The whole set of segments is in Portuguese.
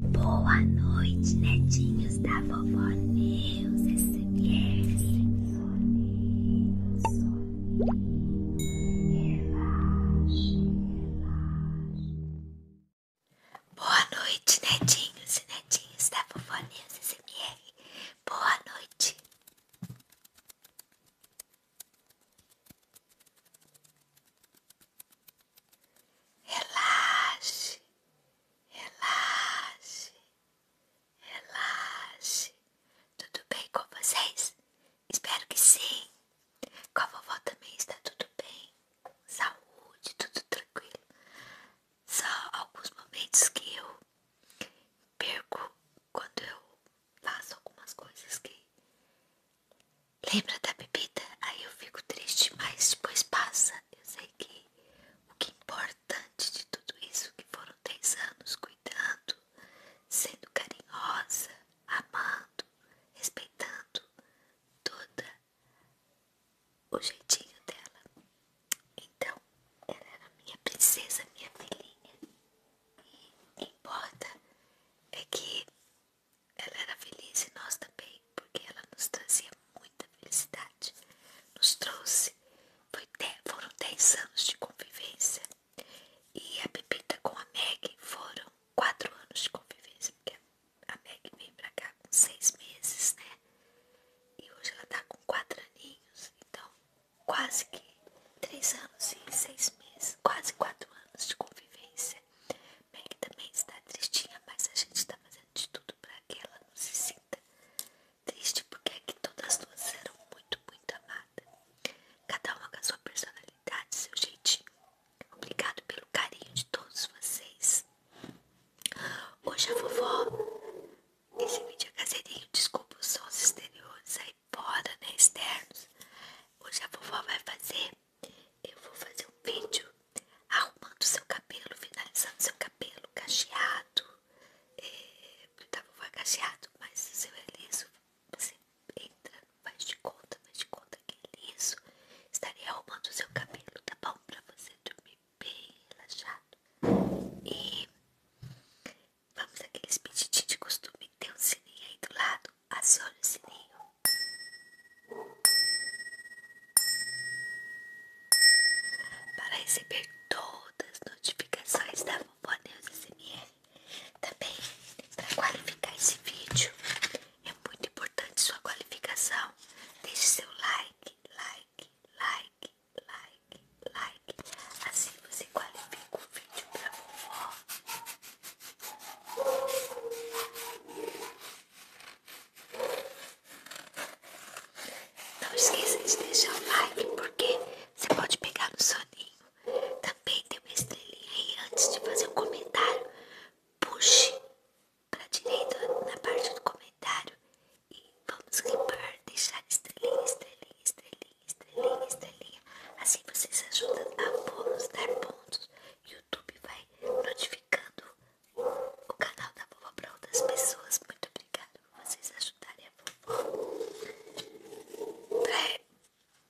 Boa noite, netinhos da vovó Neus SMR. Boa noite, netinhos e netinhos da vovó Neus SMR. Boa noite. Relaxe, relaxe, relaxe. Tudo bem com vocês? Espero que sim. Com a vovó também está tudo bem. Saúde, tudo tranquilo. Só alguns momentos que eu perco quando eu faço algumas coisas que lembra da bebida? Aí eu fico triste, mas depois passa. Eu sei que o que é importante de tudo isso que foram 10 anos cuidando, sendo carinhosa, amando, respeitando todo o jeitinho dela. Então, ela era minha princesa, minha filhinha. E o que importa é que ela era feliz e nós também, porque ela nos trazia muita felicidade. Nos trouxe. Foi dez, foram 10 anos de convivência. E a Pepita com a Meg foram 4 anos de convivência. Porque a Meg veio pra cá com 6 meses, né? E hoje ela tá com 4 aninhos. Então, quase que 3 anos e 6 meses. Quase 4 anos de convivência você. também está tristinha, mas a gente está fazendo de tudo para que ela não se sinta triste, porque aqui é todas duas eram muito, muito amadas. Cada uma com a sua personalidade, seu jeitinho. Obrigado pelo carinho de todos vocês. Hoje a vovó. Esse vídeo é caseirinho, desculpa os sons exteriores aí fora, né? Externos. Hoje a vovó vai fazer eu vou fazer um vídeo arrumando seu cabelo, finalizando seu cabelo cacheado. É, tava tá cacheado, mas se o seu é liso, você entra, faz de conta, faz de conta que é liso. Estarei arrumando seu cabelo, tá bom? Pra você dormir bem relaxado. E vamos aqueles pedidinhos de costume. Tem um sininho aí do lado, acione o sininho. Para receber todas as notificações da Vovó Deus SMR. Também, para qualificar esse vídeo, é muito importante sua qualificação. Deixe seu like, like, like, like, like. Assim você qualifica o vídeo para vovó. Não esqueça de deixar o like, porque você pode pegar no soninho. Também tem uma estrelinha aí antes de fazer o um comentário. Puxe para direita na parte do comentário e vamos limpar deixar estrelinha, estrelinha, estrelinha, estrelinha, estrelinha. Assim vocês ajudam a nos dar pontos. e o YouTube vai notificando o canal da vovó para outras pessoas. Muito obrigada por vocês ajudarem a vovó. Pra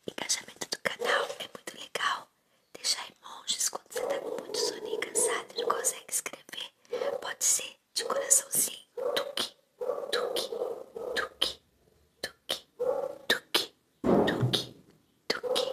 engajamento do canal é muito legal. Deixar emojis quando você está com muito e cansado e não consegue escrever. Pode ser de coraçãozinho. Tuque, tuque, tuque, tuque, tuque, tuque, tuque, tuque,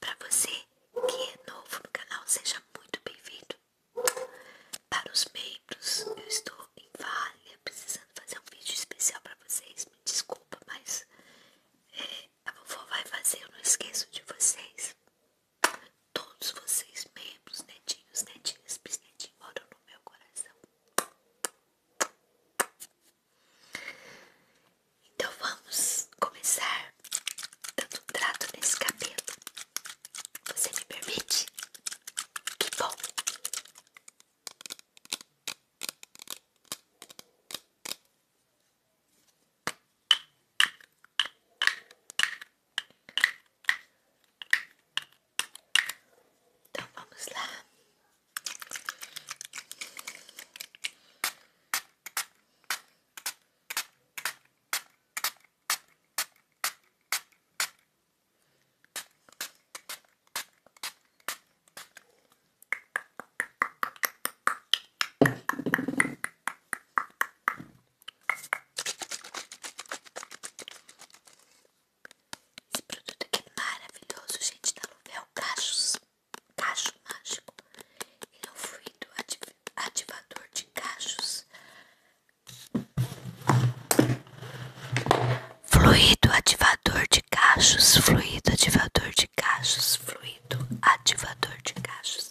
Para você que é novo no canal, seja muito bem-vindo. Para os membros, eu estou em falha, precisando fazer um vídeo especial para vocês. Me desculpa, mas é, a vovó vai fazer, eu não esqueço de vocês. Todos vocês, membros, netinhos, netinhas, bisnetinhos, moram no meu coração. Então vamos começar dando um trato nesse cabelo. Você me permite? Que bom! Então vamos lá. Esse produto aqui é maravilhoso, gente, da tá Luvel Cachos cacho mágico. Ele é fluido ativador de cachos. Fluido ativador de cachos, fluido ativador de cachos, fluido ativador de cachos.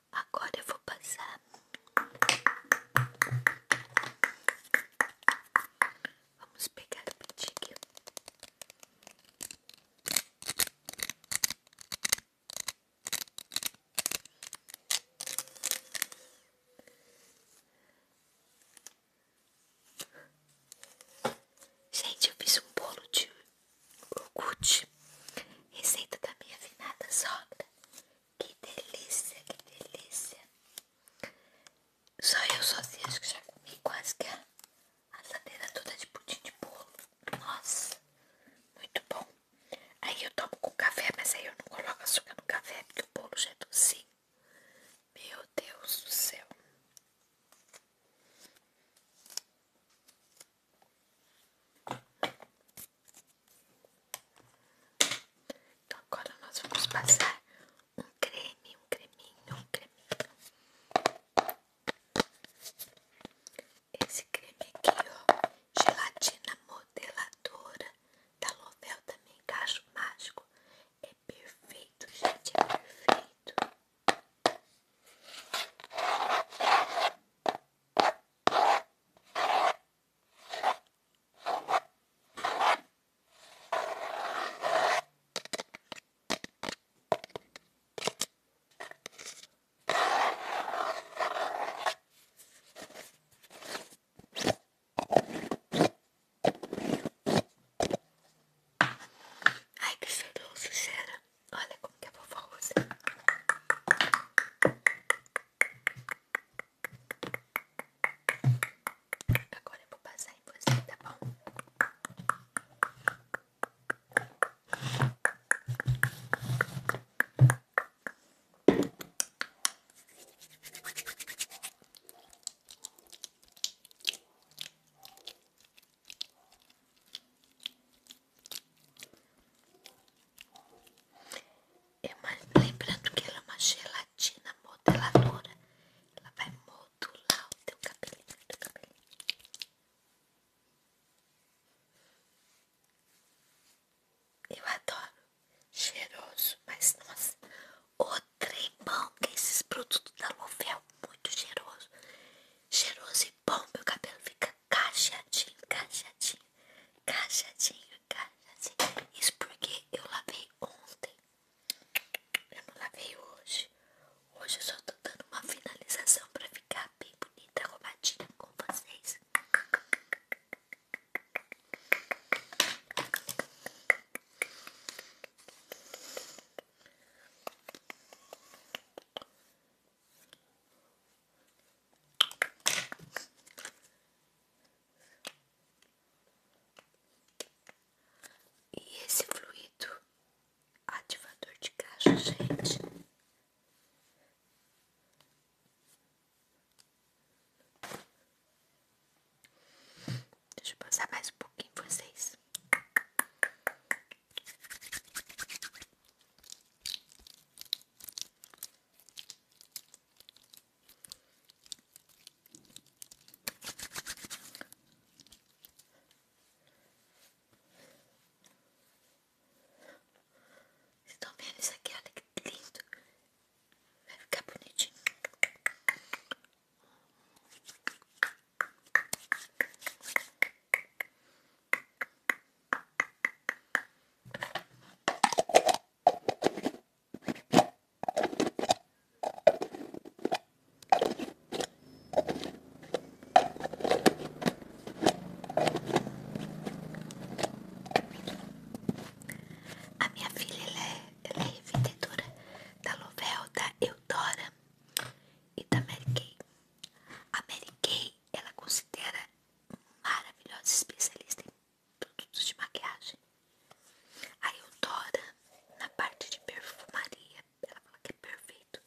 Agora eu vou passar. Vamos pegar a petilha. Gente, eu fiz um bolo de iogurte, receita da minha afinada sogra, que delícia, que delícia. Só eu sozinha acho que já comi quase que a assadeira toda de pudim de bolo. Nossa, muito bom. Aí eu tomo com café, mas aí eu não coloco açúcar no café porque o bolo já é docinho. Meu Deus do céu. Então agora nós vamos passar um creme, um creminho, um creminho. Esse creme aqui, ó, gelatina modeladora da Lovel também, cacho mágico. É perfeito, gente, é perfeito. Ai, que cheiroso cheira. Olha como que é Agora eu vou passar em você, tá bom? É lembrando que ela é uma gelatina modeladora. Ela vai modular o teu cabelinho. Eu adoro. Cheiroso. Mas, nossa, o trembão que esses produtos da Lovel. É muito cheiroso. Cheiroso e bom. Meu cabelo fica cacheadinho, cacheadinho. Cachadinho, cachadinho. Isso porque eu lavei ontem. Eu não lavei hoje. Hoje eu só tô dando uma finalização pra ficar bem bonita, arrumadinha com vocês. E esse fluido ativador de caixa, gente, deixa eu passar mais um pouquinho em vocês. Estão vendo isso aqui? Olha que lindo. Vai ficar bonitinho. A minha filha é, ela é da Lovell, da Eudora e da Mary Kay. A Mary Kay ela considera maravilhosa especialista em produtos de maquiagem. A Eudora, na parte de perfumaria, ela fala que é perfeito.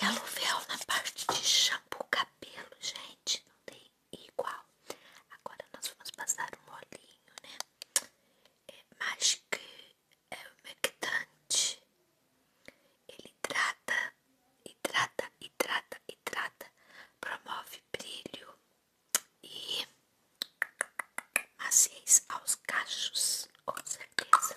E a Luvel na parte de shampoo cabelo, gente, não tem igual. Agora nós vamos passar um olhinho, né? É mágico, é humectante. Ele hidrata, hidrata, hidrata, hidrata. Promove brilho e maciez aos cachos, com certeza.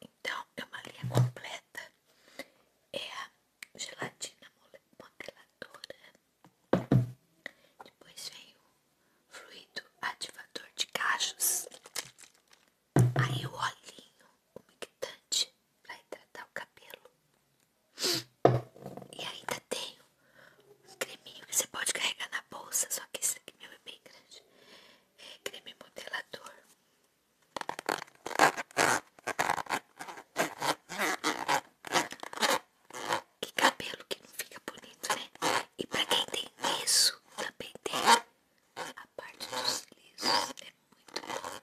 Então, é uma linha completa. É a gelatina modeladora. Depois vem o fluido ativador de cachos. Aí o olhinho, humectante mictante, para hidratar o cabelo. E ainda tenho um creminho que você pode carregar na bolsa, só que esse aqui meu é bem grande. É creme modelador. Que cabelo que não fica bonito, né? E pra quem tem isso, também tem a parte dos lisos. É muito bom.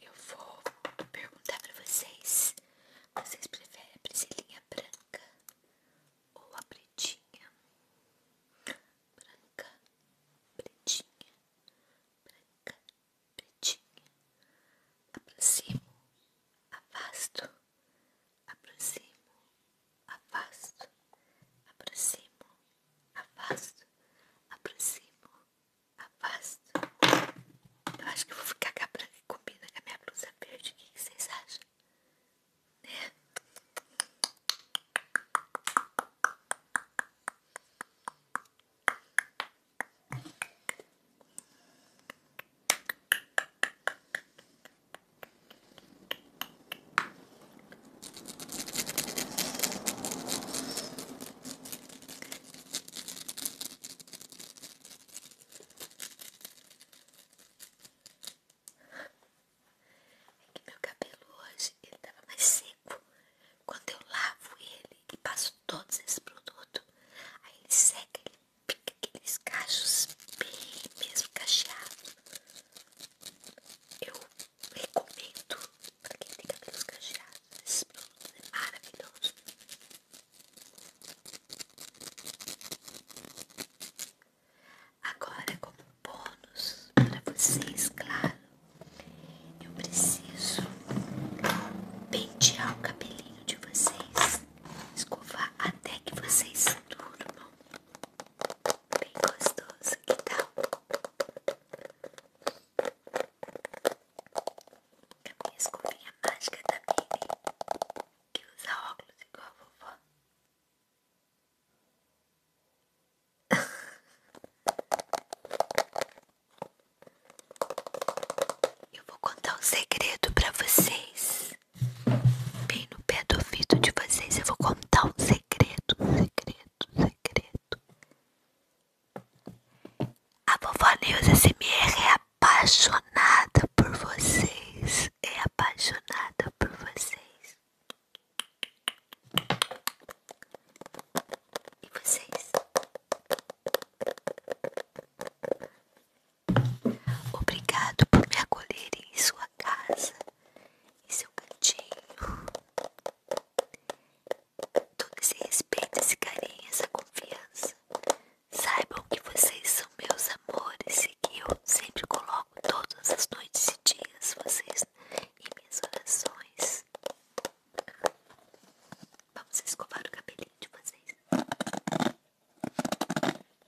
Eu vou perguntar para vocês: vocês preferem a presilhinha branca ou a pretinha? Branca, pretinha, branca, pretinha. Aproximo, afasto aproximo, afasto, aproximo, afasto, aproximo, afasto. Eu acho que vou ficar com a branca que combina com a minha blusa verde. O que, que vocês acham? Né? É que meu cabelo hoje ele tava mais seco. Quando eu lavo ele e passo todos esses produtos, aí ele seca, aqueles cachos bem mesmo cacheados. Eu recomendo para quem tem cabelos cacheados. Esse produto é maravilhoso. Agora, como bônus para vocês, claro, eu preciso pentear o cabelinho de vocês escovar até que vocês se durmam. Bem gostoso, que tal? É a minha escovinha mágica da Mini, que usa óculos igual a vovó. Eu vou contar um segredo pra vocês. Bem no pé do ouvido de vocês eu vou contar um segredo, segredo, segredo. A vovó Neuza SMR é apaixonada por vocês. É apaixonada por vocês. E vocês? Obrigado por me acolherem em sua casa, em seu cantinho. Todo esse respeito, esse carinho, essa confiança. Saibam que vocês são meus amores e que eu sempre coloco todas as noites e dias vocês em minhas orações. Vamos escovar o cabelinho de vocês.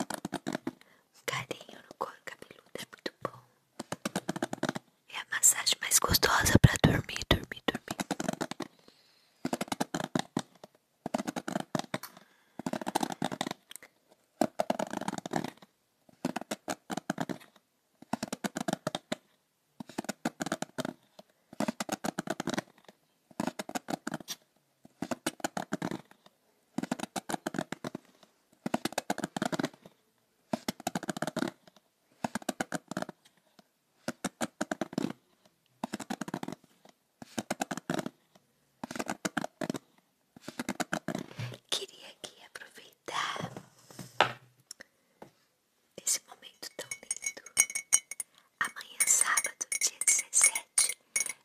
Um carinho no couro cabeludo é muito bom. É a massagem mais gostosa para dormir, dormir, dormir. Queria aqui aproveitar esse momento tão lindo. Amanhã, sábado, dia dezessete.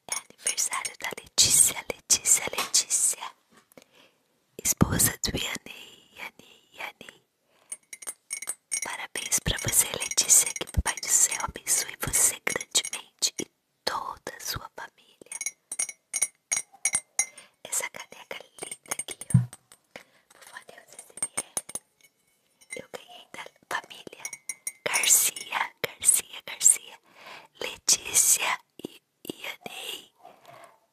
É aniversário da Letícia, Letícia, Letícia. Esposa do Yanei, Yanei, Yanei. Parabéns pra você, Letícia. Que pai do Céu abençoe você grandemente e toda a sua família. Essa caneca linda aqui, ó. Por favor, SMR. Eu ganhei da família Garcia, Garcia, Garcia, Letícia e Ianei,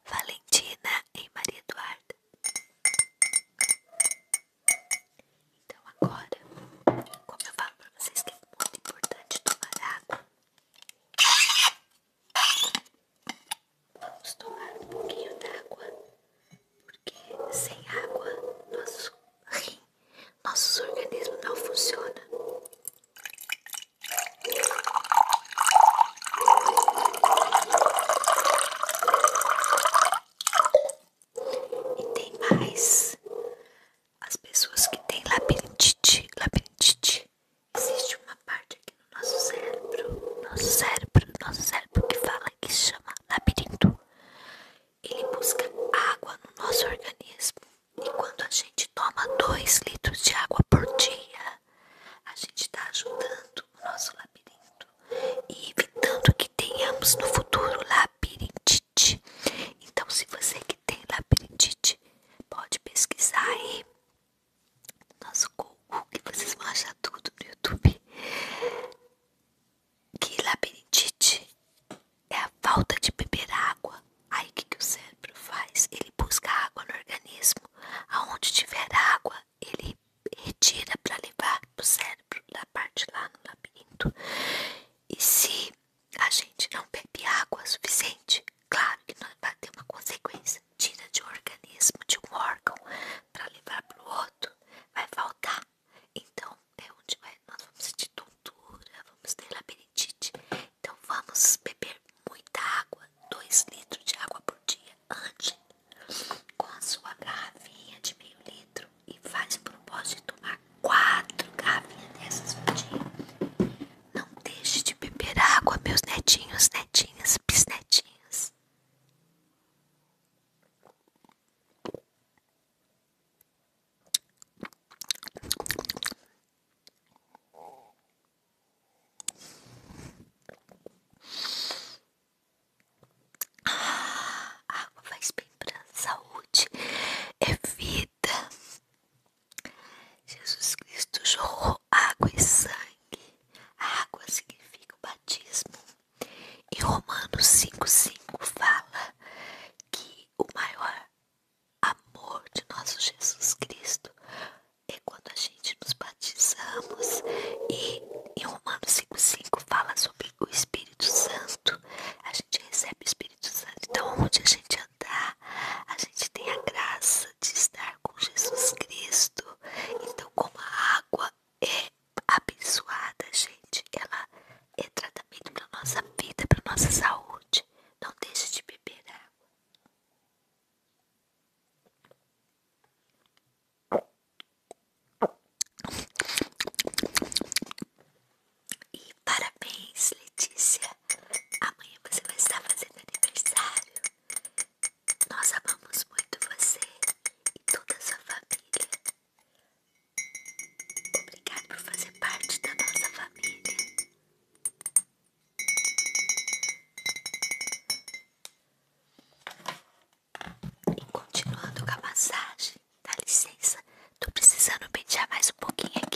Valentina e Maria Eduarda. Então agora, como eu falo para vocês que é muito importante tomar água, vamos tomar um pouquinho d'água, porque sem água nosso rim, nosso organismo não funciona. E tem mais as pessoas que têm labirintite, labirintite. Existe uma parte aqui no nosso cérebro, nosso cérebro, nosso cérebro que fala que chama labirinto. Ele busca água no nosso organismo e quando a gente toma 2 litros de água por dia, a gente está ajudando o nosso labirinto e evitando que tenhamos no futuro labirintite. Então, se você que tem labirintite, pode pesquisar aí no nosso Google, que vocês vão achar tudo no YouTube. Que labirintite é a falta de beber água Aí o que, o cérebro faz? Ele busca água no organismo. Aonde tiver água, ele retira para levar para o cérebro, da parte lá no labirinto. E se a gente não bebe água suficiente, claro que não vai ter uma consequência. Tira de um organismo, de um órgão, para levar para o outro, vai faltar. Então é onde nós vamos sentir tontura, vamos ter labirintite. Então vamos beber muita água, 2 litros de água por dia. antes com a sua garrafinha de meio litro e faz propósito de tomar quatro garrafinhas dessas por dia. Não deixe de beber água, meus netinhos, netinhas, bisnetinhos. Ah, água faz bem pra saúde, é vida. Jesus Cristo jorrou água e sangue. água significa o batismo. Em Romanos 5,5 fala que o maior amor de nosso Jesus Cristo. É quando a gente nos batizamos e em Romanos 5,5 fala sobre o Espírito Santo. A gente recebe o Espírito Santo. Então, onde a gente andar, a gente tem a graça de estar com Jesus Cristo. Então, como a água é abençoada, gente, ela é tratamento para nossa vida, para nossa saúde. Não deixe de beber água. E parabéns, Letícia. Amanhã você vai estar fazendo aniversário. Nós amamos muito você e toda a sua família. Obrigado por fazer parte da nossa família. E continuando com a massagem, dá licença, tô precisando pentear mais um pouquinho aqui.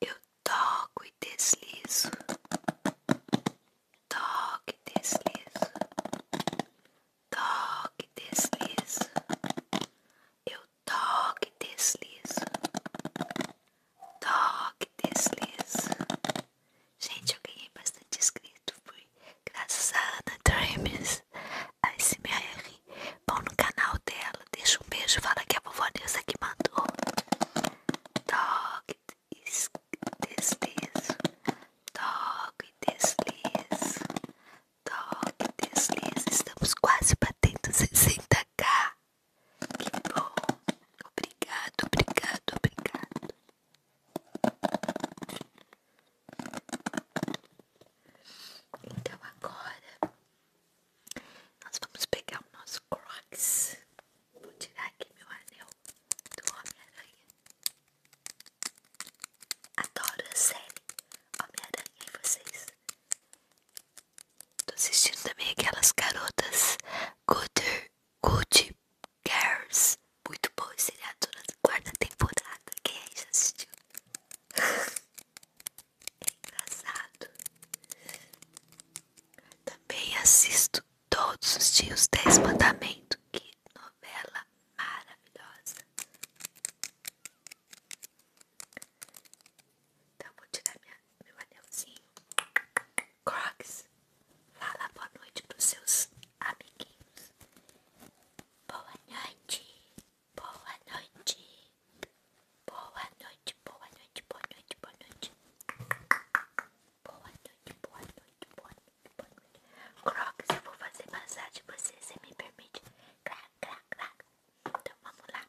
Eu toco e deslizo, toque e deslizo, toque e deslizo. Eu toque, deslizo, toque, deslizo. Gente, eu ganhei bastante inscrito. Fui graças a Ana Dreams, a SMR. Bom, no canal dela, deixa um beijo. Fala que a vovó Nilza que mandou. Toque, deslizo, toque, deslizo. Top, desliza, estamos quase batendo 60k. Que bom, obrigado, obrigado, obrigado. Então agora nós vamos pegar o nosso Crocs. Vou tirar aqui meu anel do Homem-Aranha. Adoro a série Homem-Aranha e vocês. Tô assistindo também aquelas garotas Good, good Girls. Muito bom esse seriado na quarta temporada. Quem aí já assistiu? É engraçado. Também assisto todos os dias Dez Mandamentos. Que novela maravilhosa. Então vou tirar minha, meu anelzinho. Crocs, fala boa noite para os seus amiguinhos. Boa noite, boa noite, boa noite, boa noite, boa noite, boa noite. Boa noite, boa noite, boa noite, Crocs, eu vou fazer massagem, para você, você me permite? Claro, claro, claro. Então vamos lá.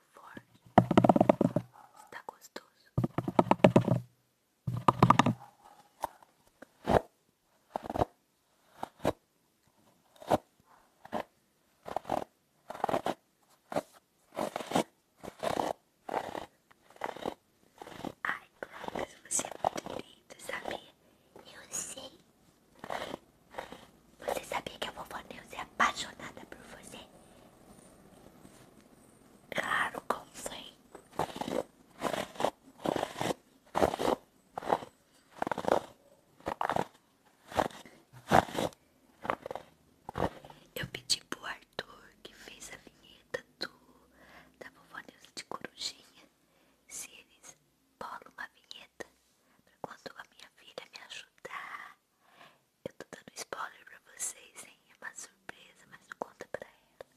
forte, está gostoso. Ai, Cláudia, você é muito linda, sabia? Eu sei. Você sabia que a vovó Neuza é apaixonada por você? Claro que eu sei. Eu pedi pro Arthur que fez a vinheta do, da vovó Neuza de Corujinha se eles bolam uma vinheta pra quando a minha filha me ajudar eu tô dando spoiler pra vocês, hein? É uma surpresa, mas não conta pra ela.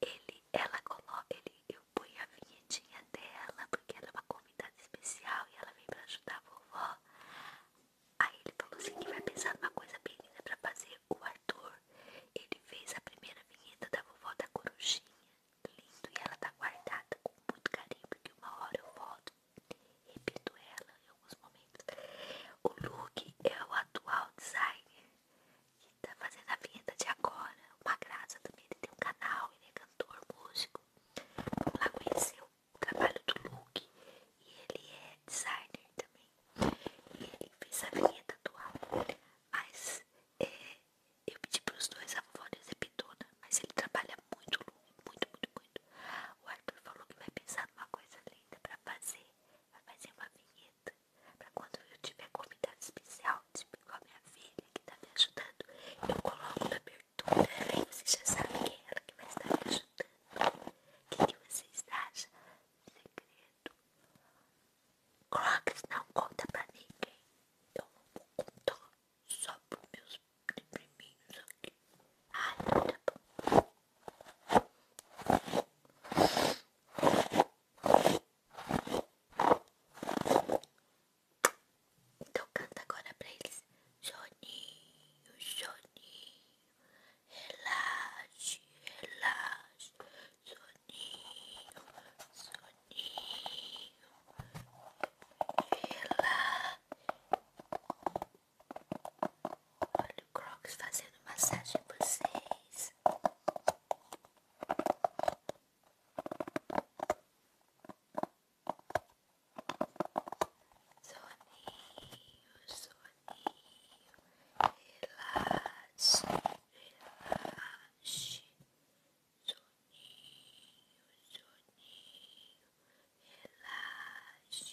Ele, ela coloca, ele, eu ponho a vinhetinha dela, porque ela é uma convidada especial e ela vem pra ajudar a vovó. Aí ele falou assim que vai pensar numa coisa bem linda pra fazer o Arthur. Ele fez a primeira vinheta da vovó da corujinha, lindo, e ela tá guardada com muito carinho, porque uma hora eu volto Repito ela em alguns momentos. O look é o atual designer que está fazendo a vinheta de agora. Uma graça também, ele tem um canal, ele é cantor, músico. lá conheceu o trabalho do Luke. E ele é designer também. E ele fez a vinheta atual. Mas é, eu pedi para os dois a vovó de Zepitona, né? mas ele trabalha muito, muito, muito, muito o Arthur falou que vai pensar numa coisa linda pra fazer. Vai fazer uma vinheta. Pra quando eu tiver convidado especial, tipo igual a minha filha que tá me ajudando, eu coloco na abertura. E você já sabe que é ela que vai estar me ajudando. O que, que vocês acham? Segredo. Coloca, não conta pra ninguém. Eu não vou contar só por meus priminhos aqui. Ai, tá bom. Então canta agora pra eles. Joninho, Joninho, relaxe, relaxe. Soninho, soninho, relaxe. Olha o Crocs fazendo massagem para vocês. Soninho, soninho, relaxe, relaxe. Soninho, soninho, relaxe,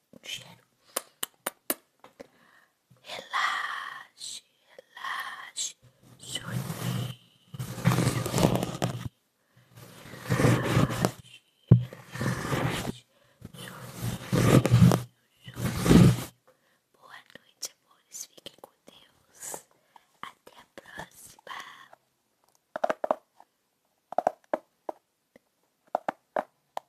um Relaxe, relaxe, sorri. Relaxe, relaxe, sorri. Boa noite, amores. Fiquem com Deus. Até a próxima. Tchau!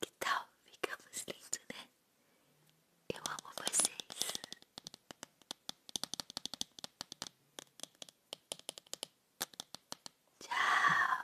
Que tal? Ficamos lindos, né? Eu amo vocês! Tchau!